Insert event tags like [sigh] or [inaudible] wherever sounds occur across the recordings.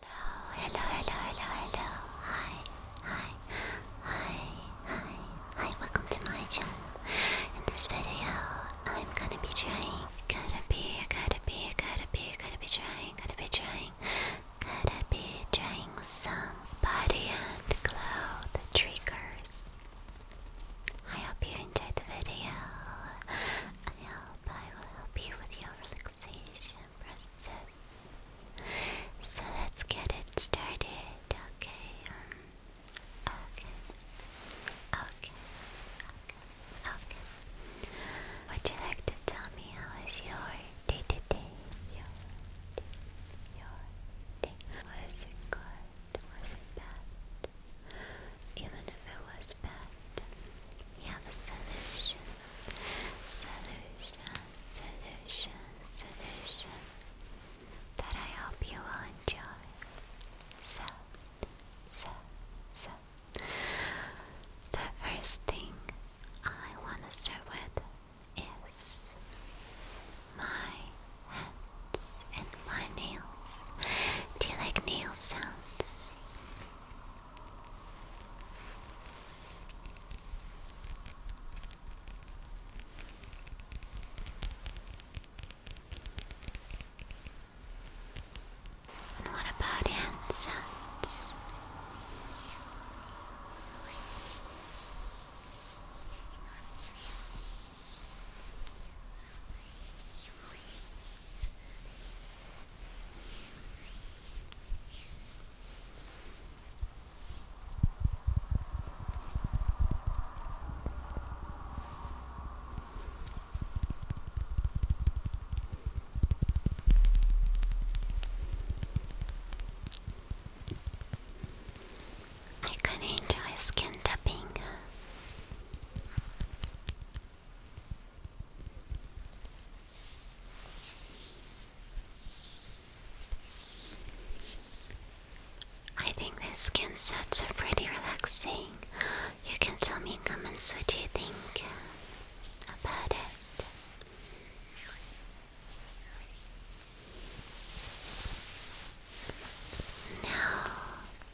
Hello, hello, hello, hello, hello. Hi, hi, hi, hi, hi. Welcome to my channel. In this video, I'm gonna be trying. going to be, gotta be, gotta be, gotta be trying, going to be trying, going to be trying some body and cloud triggers. I hope you enjoyed the video. I hope I will help you with your relaxation process. So let's get it started, okay? okay. Um, okay. Okay. Okay. Would you like to tell me how is your Your day. Your day. Was it good? Was it bad? Even if it was bad, we have a solution solution, solution, solution that I hope you will enjoy. So, so, so, the first thing I want to start with is my hands and my nails. Do you like nail sounds? And what about incense? I could enjoy skin tapping. I think this skin sets are pretty relaxing. You can tell me in comments what you think about it. Now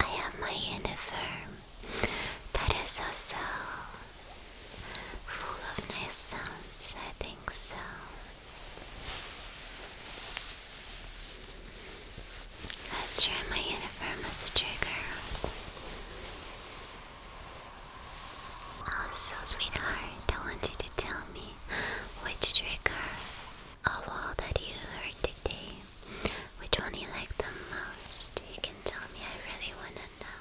I have my uniform. That is also full of nice sounds, I think so. That's true. my uniform is a trigger. Oh, Also, sweetheart, I want you to tell me which trigger of all that you heard today, which one you like the most. You can tell me, I really wanna know.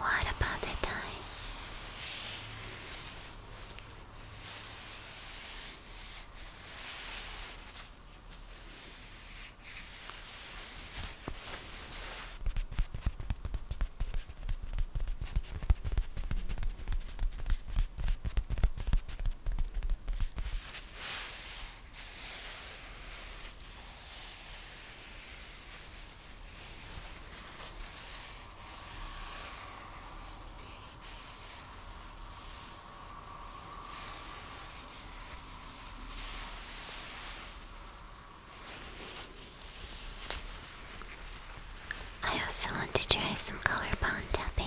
What about the time? I also want to try some color bond tapping.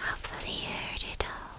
Hopefully, you heard it all.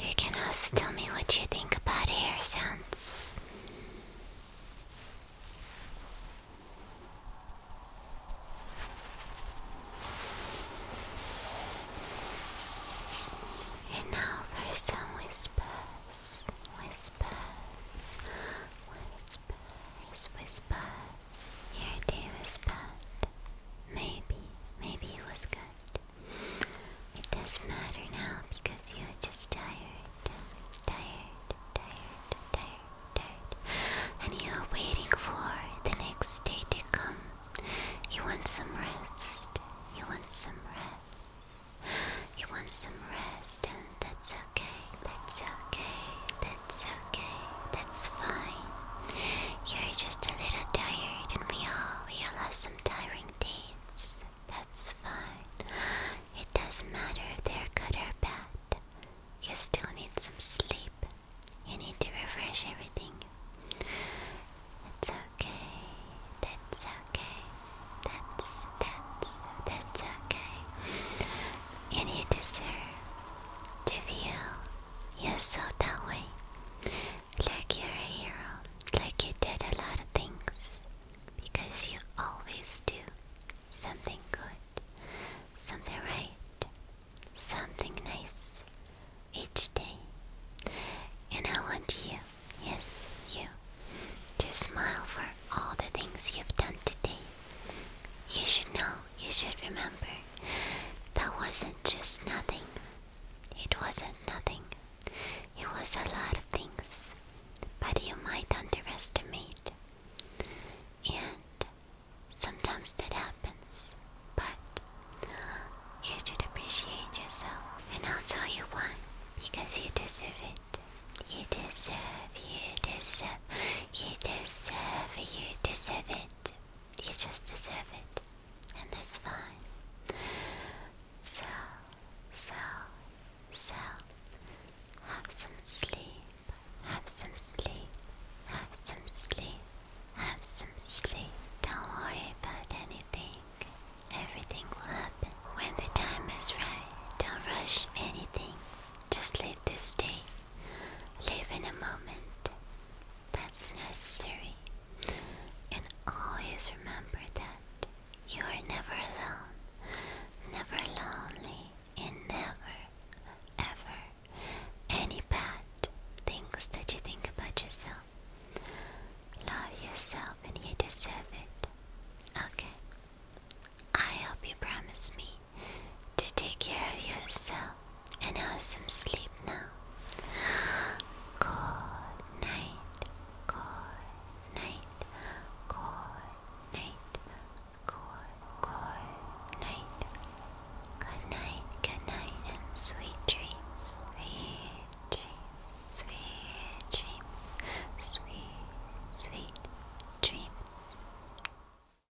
You can also tell me what you think about hair sounds. And now for some whispers, whispers, whispers whispers, whispers. Your day was bad. Maybe, maybe it was good. It doesn't matter now because you're just tired. Tired, tired, tired, tired. And you're waiting for the next day to come. You want some rest. You want some rest. You want some rest, and that's that's okay, that's okay, that's fine. You're just a little tired and we all we all have some tiring days. That's fine. It doesn't matter if they're good or bad. You still need some sleep. You need to refresh everything. That's okay. That's okay. That's that's that's okay and you deserve to feel yourself that way. Like you're a hero, like you did a lot of things, because you always do something good, something right, something nice each day. And I want you, yes, you, to smile for all the things you've done today. You should know, you should remember. That wasn't just nothing. It wasn't nothing. It was a lot of things. But you might underestimate. And sometimes that happens. But you should appreciate yourself. And I'll tell you why. Because you deserve it. You deserve, you deserve you deserve it. You deserve it. You just deserve it. And that's fine. So, so, so, have some sleep, have some sleep, have some sleep, have some sleep. Don't worry about anything. Everything will happen when the time is right. Don't rush anything. Just live this day. Live in a moment that's necessary, and always remember that you are never alone, never lonely, and never, ever any bad things that you think about yourself. Love yourself, and you deserve it. Okay, I hope you promise me to take care of yourself and have some sleep now. Good night, good night, good night, good, good night. Good night, good night, and sweet dreams, sweet dreams, sweet dreams, sweet, sweet dreams.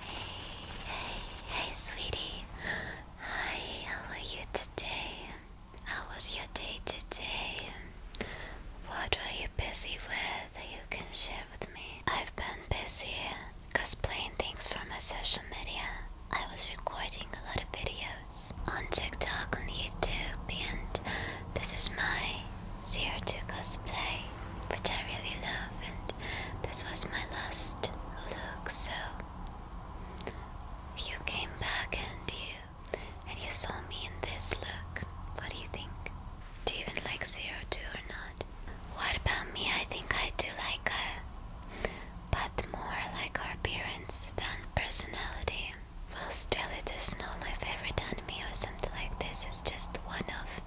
Hey, hey, sweetie. Hi, how are you today? How was your day today? What were you busy with that you can share with me? I've been busy. Because playing things for my social media, I was recording a lot of videos on TikTok, on YouTube, and this is my Zero Two cosplay, which I really love, and this was my last look. So you came back and you and you saw me in this look. What do you think? Do you even like Zero Two or not? What about me? I think I do like but more like our appearance than personality. Well, still, it is not my favorite anime or something like this. It's just one of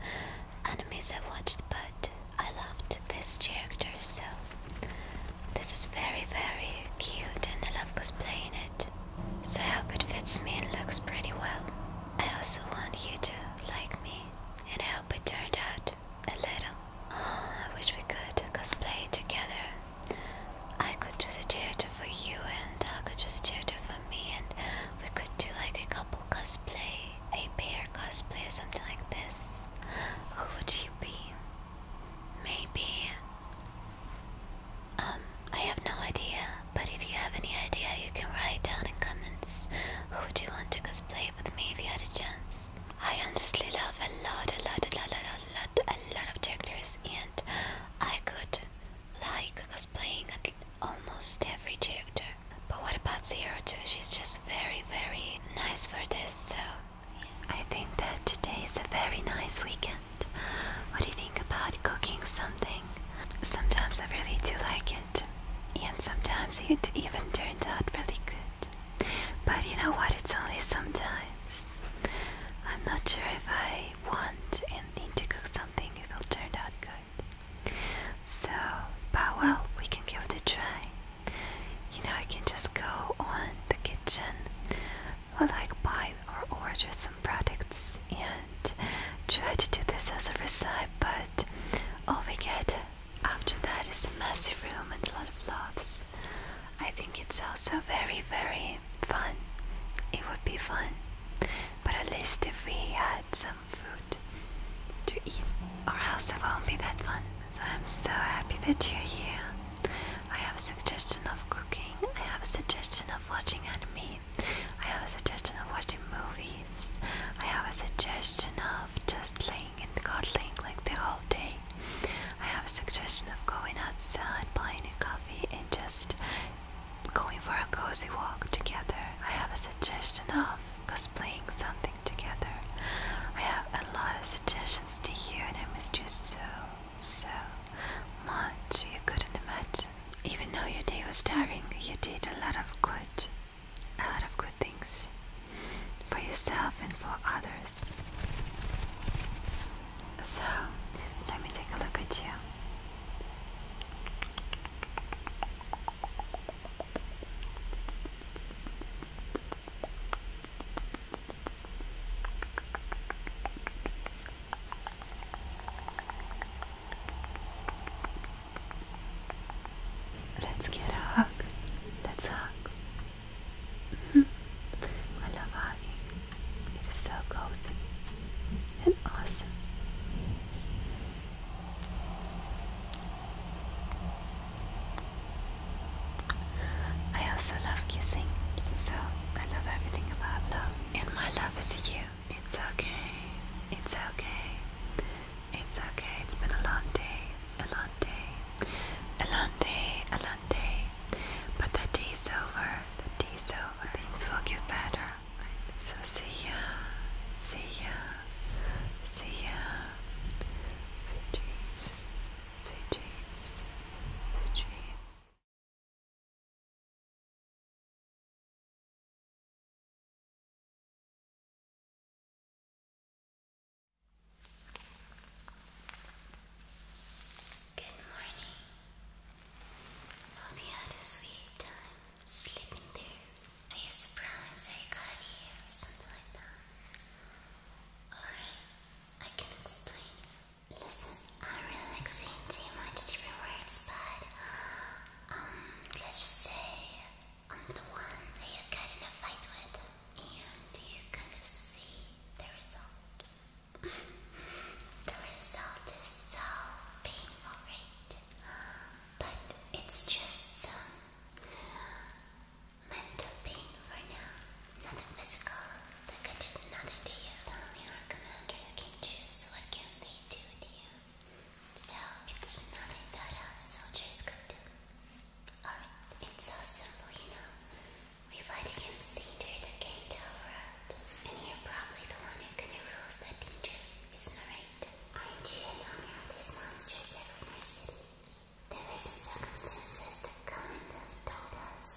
animes I watched, but I loved this character, so this is very, very cute, and I love cosplaying it. So I hope it fits me and looks pretty well. I also want you to like me, and I hope it turned out a little. Oh, I wish we could cosplay together. I could choose a character for you, and I could choose a character for me, and we could do like a couple cosplay, a pair cosplay, or something like this. Who would you be? Maybe. Um, I have no idea, but if you have any idea, you can write down in comments. Who would you want to cosplay with me if you had a chance? I honestly love a lot, a lot, a lot, a lot, a lot, a lot of characters, and I could like cosplaying at almost every character. But what about Zero Two? She's just very, very nice for this, so I think that today is a very nice weekend. What do you think about cooking something? Sometimes I really do like it, and sometimes it even turns out really good. But you know what? It's only sometimes. I'm not sure if I want and need to cook something, if it will turn out good. So, but well, we can give it a try. You know, I can just go on the kitchen, like buy or order some products and try to do this as a recipe, but all we get after that is a massive room and a lot of lots. I think it's also very, very fun. It would be fun. But at least if we had some food to eat, or else it won't be that fun. So I'm so happy that you're here. I have a suggestion of cooking, I have a suggestion of watching anime, I have a suggestion of watching movies, I have a suggestion of just laying and cuddling like the whole day. I have a suggestion of going outside, buying a coffee, and just going for a cozy walk together. I have a suggestion of cosplaying something together. I have a lot of suggestions to you, and I missed you so, so much. You couldn't imagine. Even though your day was tiring, you did a lot of good a lot of good things for yourself and for others. So, let me take a look at you. Let's get a hug. Let's hug. Hmm. I love hugging. It is so cozy and awesome. I also love kissing, so I love everything about love. And my love is you. It's okay. It's okay. It's okay, it's been a long day, a long day, a long day, a long day. But the day's over, the day's over. Things will get better. So see ya, see ya, see ya. See dreams, See dreams, See dreams. Good morning. Hope you had a sweet time sleeping there. Are you surprised I got here or something like that? Alright, I can explain. Listen, I really like saying too much different words, but um, let's just say I'm the one that you got in a fight with, and you kind of see the result. the result is so painful, right? But it's just some mental pain for now, nothing physical. Like I did nothing to you. Tell our commander, can choose what can they do with you. So it's nothing that our soldiers could do. Alright, it's awesome, you know. We fight against danger that came to our world. And you're probably the one who can rule that danger, isn't it right? Aren't you in honor of these monsters every our city? There were some circumstances that kind of told us,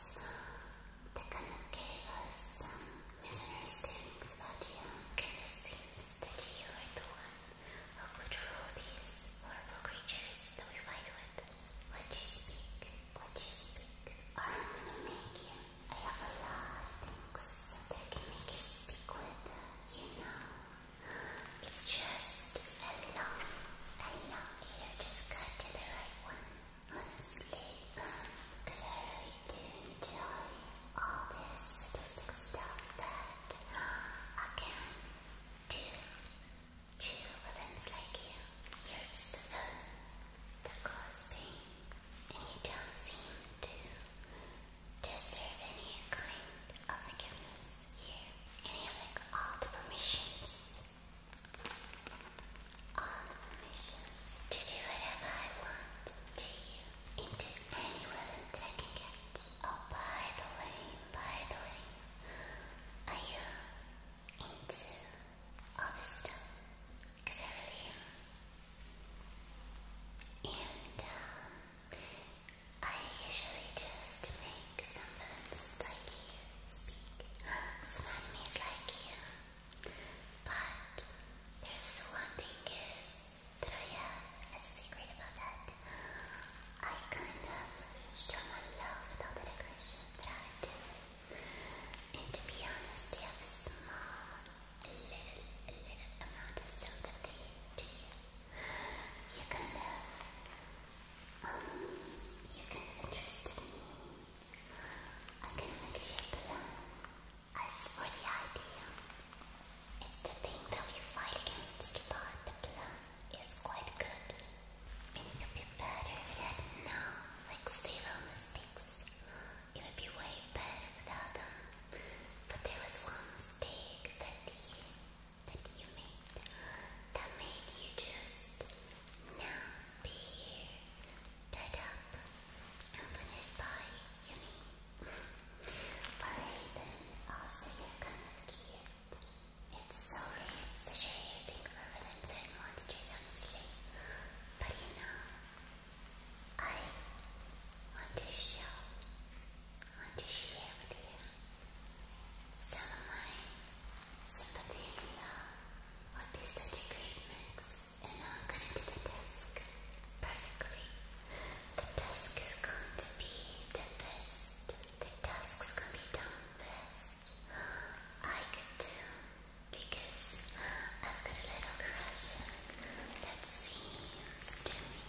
that kind of gave us some um, misunderstandings about you. Kind of seems that you are the one who could rule these horrible creatures that we fight with. What do you speak? What do you speak? i have a lot of things that I can make you speak with. You know, it's just a long, a long ear. Just got to the right one. Honestly, I really do enjoy all this sadistic stuff that I can do, do villains like you. You're just a villain and you don't seem to deserve any kind of forgiveness here. And you like all the permissions, all the permissions to do whatever I want to you, into any that I can get. Oh, by the way, by the way, are you into all this stuff? Because I really am. And um, I usually just make some films like you speak, some animes like you. But there's one thing is that I have a secret about that. I kind of show my love with all the decoration that I do. And to be honest, I have a small, little, little amount of sympathy to you. You kind of, um, you kind of interested me. I can make you a plan. As for the idea, it's the thing that we fight against, but the plan is quite good. It could be better if no, like, zero mistakes. It would be way better without them. But there was one mistake that you, that you made that made you just now be here, tied up, and punished by Yumi. Alright, then also you're kind of cute. It's so lame, such a big river that said monsters, honestly. But you know, I want to show, want to share with you some of my sympathy and would be such a great mix. And I'm going to do the desk perfectly. The desk is going to be the best the tasks can be done best I can do because I've got a little crush that seems to me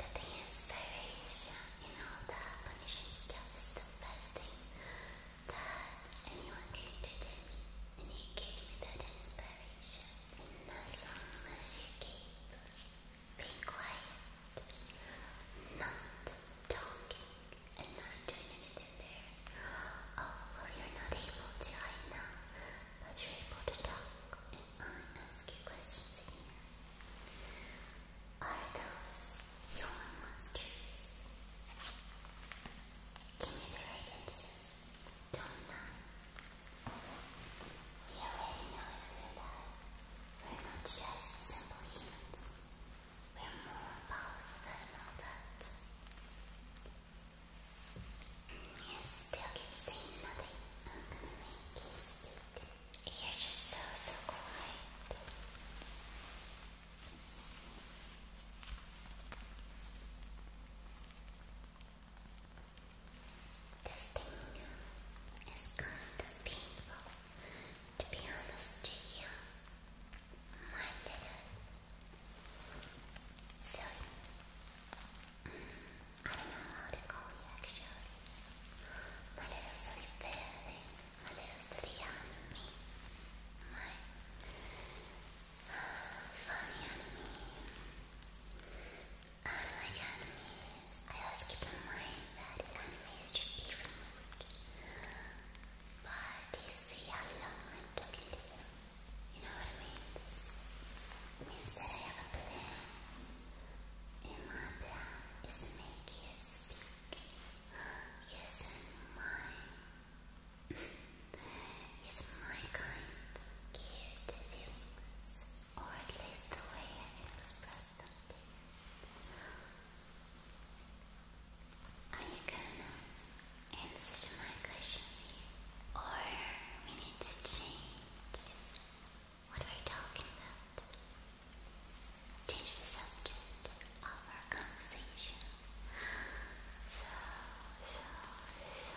that the inspiration in all that punishing stuff is the best thing that anyone can do to you gave me that inspiration and as long as you keep be quiet. Not talking and not doing anything there. Oh, you're not able to right now, but you're able to talk and I ask you questions here. Are those your monsters? Give me the right Don't know. You already know it in real we're not just simple humans. We're more powerful than all that. You still keep saying nothing. I'm gonna make you speak. You're just so, so quiet. This thing is kind of painful to be honest to you, my little silly. I don't know how to call you actually. My little silly fairy, my little silly enemy, my uh, funny enemy. Unlike animes, I always keep in mind that enemies should be removed. But you see I'm talking to you. You know what it means? It I have a plan. And my plan is [laughs] to make you speak. Yes, i mine. It's my kind, cute feelings or at least the way I express them to Are you gonna answer my questions Or we need to change what we're talking about? Change the subject of our conversation. So, so, so.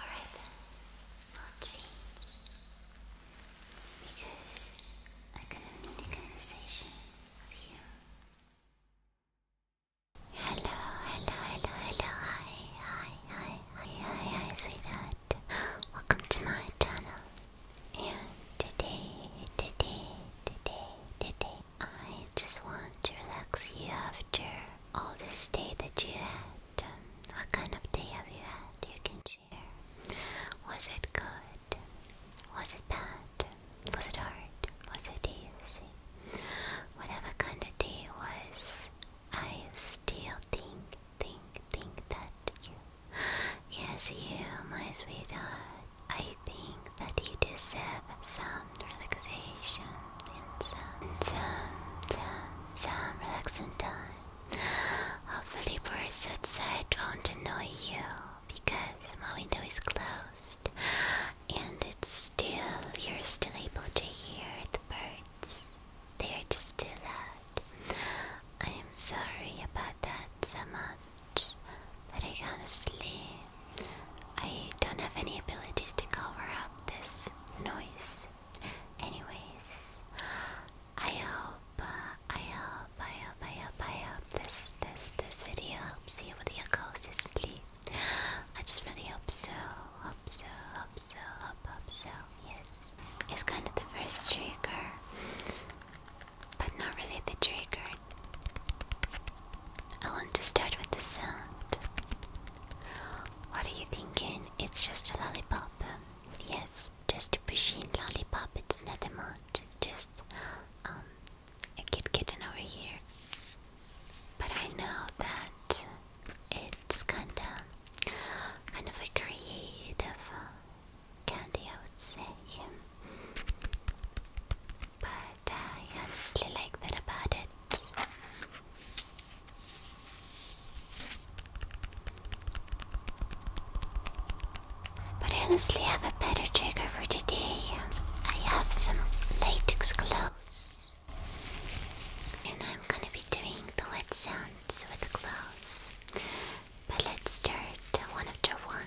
Alright then, I'll change because I kind of need conversation with you. Hello, hello, hello, hello, hi, hi, hi, hi, hi, hi, sweetheart. Welcome to my channel. And today, today, today, today, I just want to relax you after all this day that you had. what kind of day have you had? You can was it good? Was it bad? Was it hard? Was it easy? Whatever kind of day it was, I still think, think, think that you. Yes, you, my sweetheart. I think that you deserve some relaxation and some, some, some, some relaxing time. Hopefully, birds outside won't annoy you because my window is closed and it's still, you're still able to hear the birds. They are just too loud. I am sorry about that so much, but I can't sleep. I don't have any abilities to cover up this noise. Anyways, I hope, uh, I hope, I hope, I hope, I hope this, this, this video helps you with your cozy Please, I just really hope so, hope so, hope so, hope, hope so, yes. It's kind of the first trigger, but not really the trigger. I want to start with the sound. What are you thinking? It's just a lollipop. Yes, just a machine lollipop, it's not a mod, it's just um, a kid kitten over here. But I know that it's kinda, kind of a creative uh, candy, I would say. But I honestly like that about it. But I honestly have a better trigger for today. I have some latex gloves. And I'm gonna be doing the wet sounds with the gloves. But let's start one after one.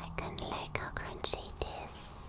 I couldn't like how crunchy it is.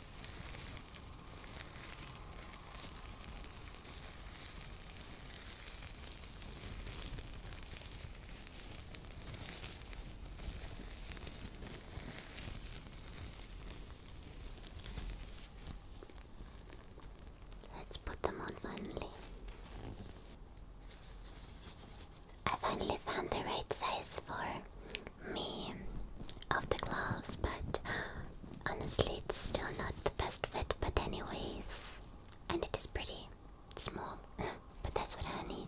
Let's put them on finally. I finally found the right size for me of the gloves, but honestly, it's still not the best fit. But, anyways, and it is pretty small, [laughs] but that's what I need.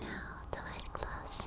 Now the light glows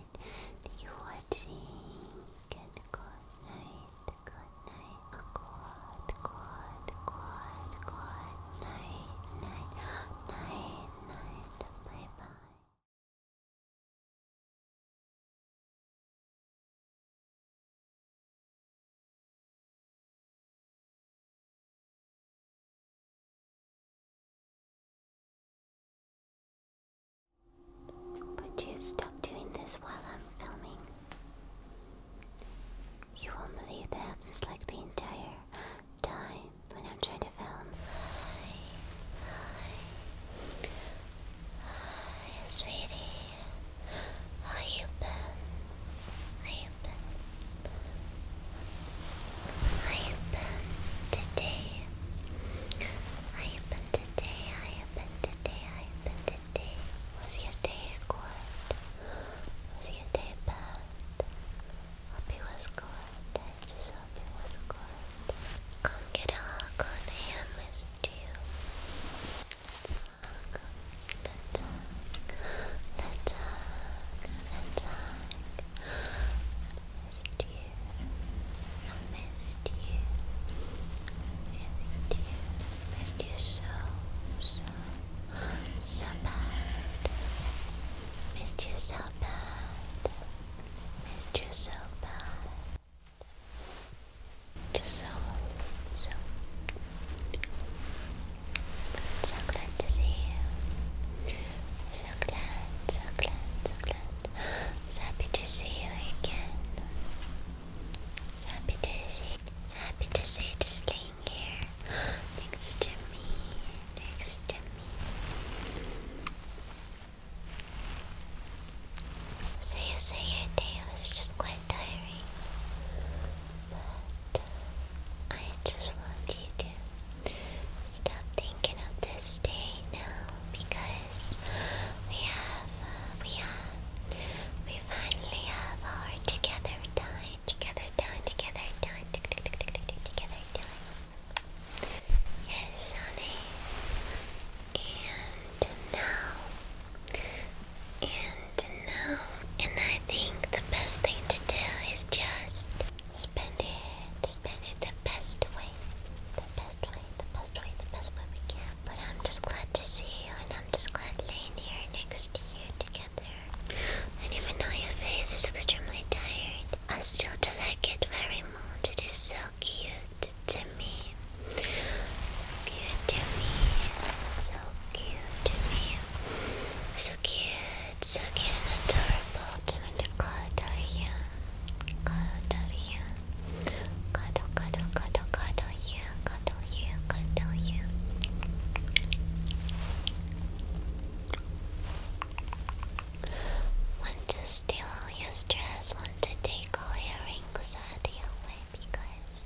night to you watching. good night, good night. Good, good, good, good night, night, night, night. Bye bye. But you stop doing this while I'm filming. You won't believe that happens like the entire time when I'm trying to film. sweetie. How you been? How you been? I open today. I open today. I open today. I open today. Was your day good? Was your day bad? Hope it was good. just hope it was good. Come get a hug on me. you. Let's hug. Let's hug. Let's hug. Let's hug missed you. missed you. Missed you. Missed you so, so, so bad. Missed you so bad. Missed you so bad. Just so, so. So glad to see you. So glad, so glad, so glad. So happy to see you again. So happy to see happy to see you staying here next to me. Next to me. Say, you say your day was just quite tiring. But I just want you to Stop thinking of this day now because we have, uh, we have, we finally have our together time, together time, together time, together time. Yes, And now, and now, and I think the best thing to do is just spend it, spend it the best way the best way, the best way, the best way we can. But I'm just glad to see you, and I'm just glad laying here next to you together. And even though your face is extremely tired, I still do like it very much. It is so cute to me. Cute to me. So cute to me. So cute it's again adorable trying to cuddle you. Cuddle you. Cuddle, cuddle, cuddle, cuddle you. Cuddle oh you, cuddle oh you. Want to steal all your stress, want to take all your rings out because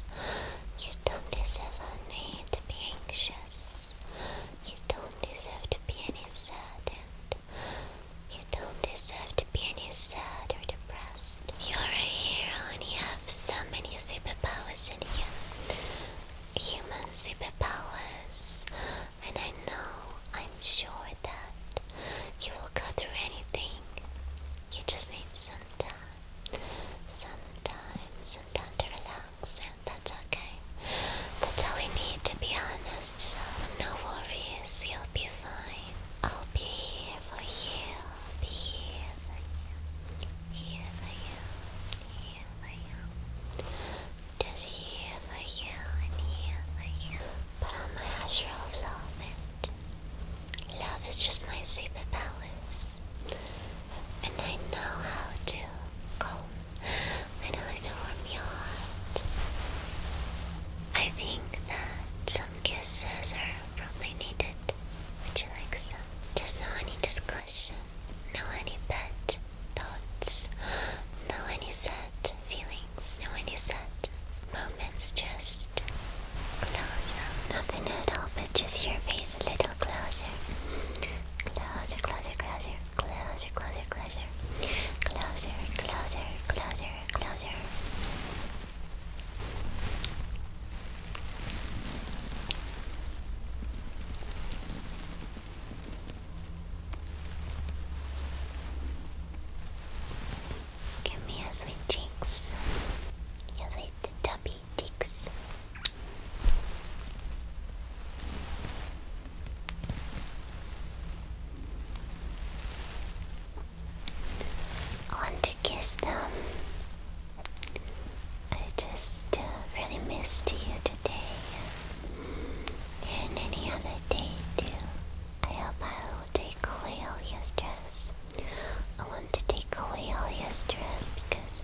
you don't deserve to be anxious. You don't deserve to be any sad and you don't deserve to be any sad or depressed. You're a hero and you have so many superpowers in you. Human superpowers. And I know, I'm sure that you will go through anything. You just need some time. Some time, some time to relax, and that's okay. That's all I need to be honest, so no worries, you'll be fine. I'll be here for you, be here for you, here for you, here for you. Just here for you and here for you. Put on my Azure of Love and love is just my superpowers. And I know how to calm I warm your heart. I think that some kisses are probably needed. Would you like some? Just no any discussion, no any bad thoughts, no any sad feelings, no any sad moments, just closer. Nothing at all, but just your face a little closer. Closer, closer, closer closer, closer, closer, closer, closer, closer, closer. Give me your sweet cheeks, your sweet chubby cheeks. I want to kiss them. I just uh, really missed you today and any other day too. I hope I will take away all your stress. I want to take away all your stress because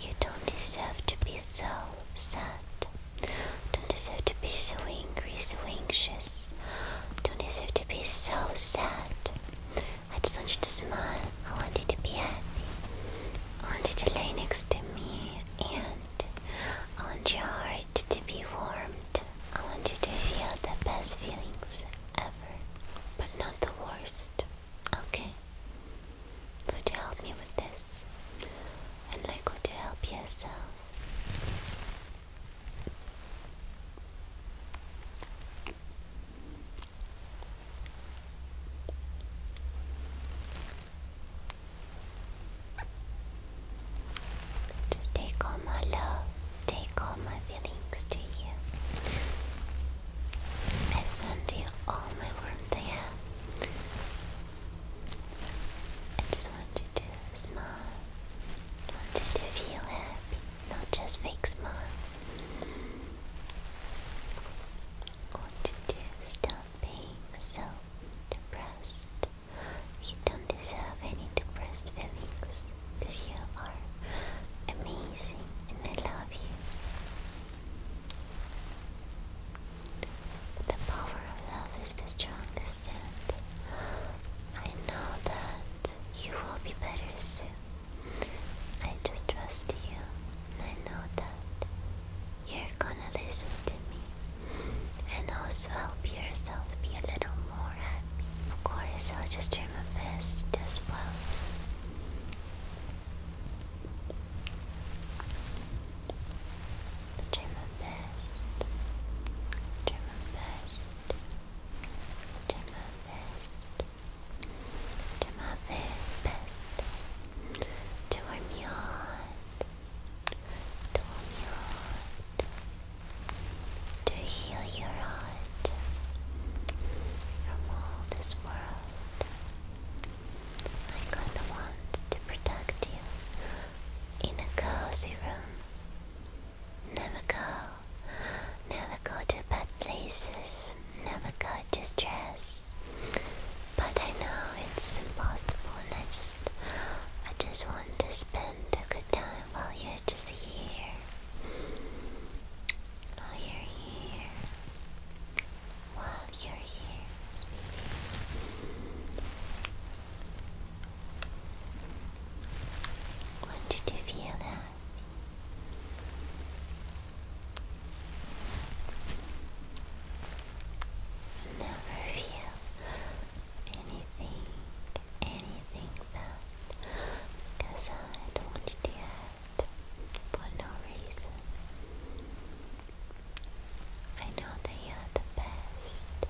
you don't deserve to be so sad. Don't deserve to be so angry, so anxious. Don't deserve to be so sad. I just want you to smile. I want you to be happy. I want you to lay next to me and I want your heart to be warmed. I want you to feel the best feelings ever, but not the worst. Okay? Would you help me with this? And like, would you help yourself? Just take all my love, take all my feelings to you. I send you all my warmth there. I just want you to smile. I want you to feel happy, not just fake smile. I want you to stop being so depressed. You don't deserve any depressed feelings because you are amazing and I love you the power of love is the strongest, and I know that you will be better soon. I just trust you. I know that you're gonna listen to me and also help yourself be a little more happy. Of course, I'll just try my best as well. But my best. Try my best. Try my best. Do my very best. To warm To warm To heal your heart from all this world. I kinda want to protect you in a cozy room. Never go, never go to bad places, never go to stress. But I know it's impossible, and I just, I just want to spend a good time while you're just here. While you're here, while you're here, when did feel that? Never feel anything, anything bad because I don't want to hurt for no reason. I know that you are the best.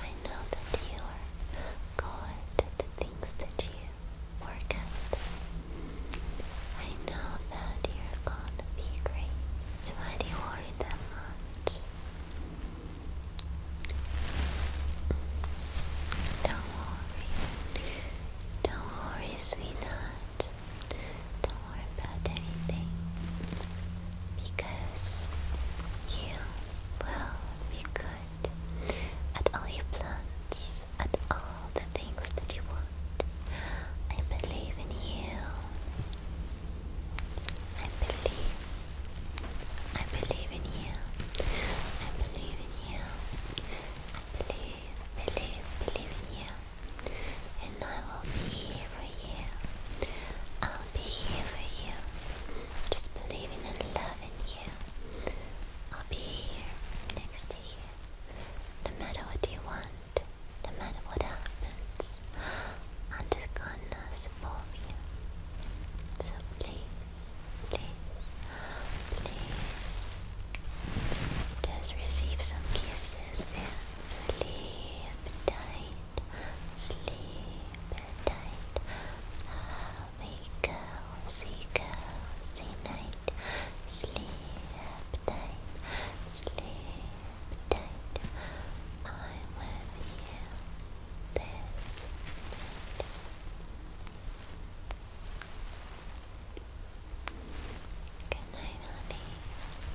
I know that you are good at the that you work at. I know that you're gonna be great. So why do you worry that much? Don't worry. Don't worry, sweetheart do about anything because you will be good at all your plans, at all the things that you want. I believe in you. I believe. I believe in you. I believe in you. I believe, believe, believe in you and I will be here for you. I'll be here for you. Just believing and loving you. I'll be here next to you. No matter what you want, no matter what happens, I'm just gonna support you. So please, please, please, just receive some kisses and sleep tight sleep tight. Have a cozy, cozy night. Sleep tight, sleep tight. I'm with this Good night, honey.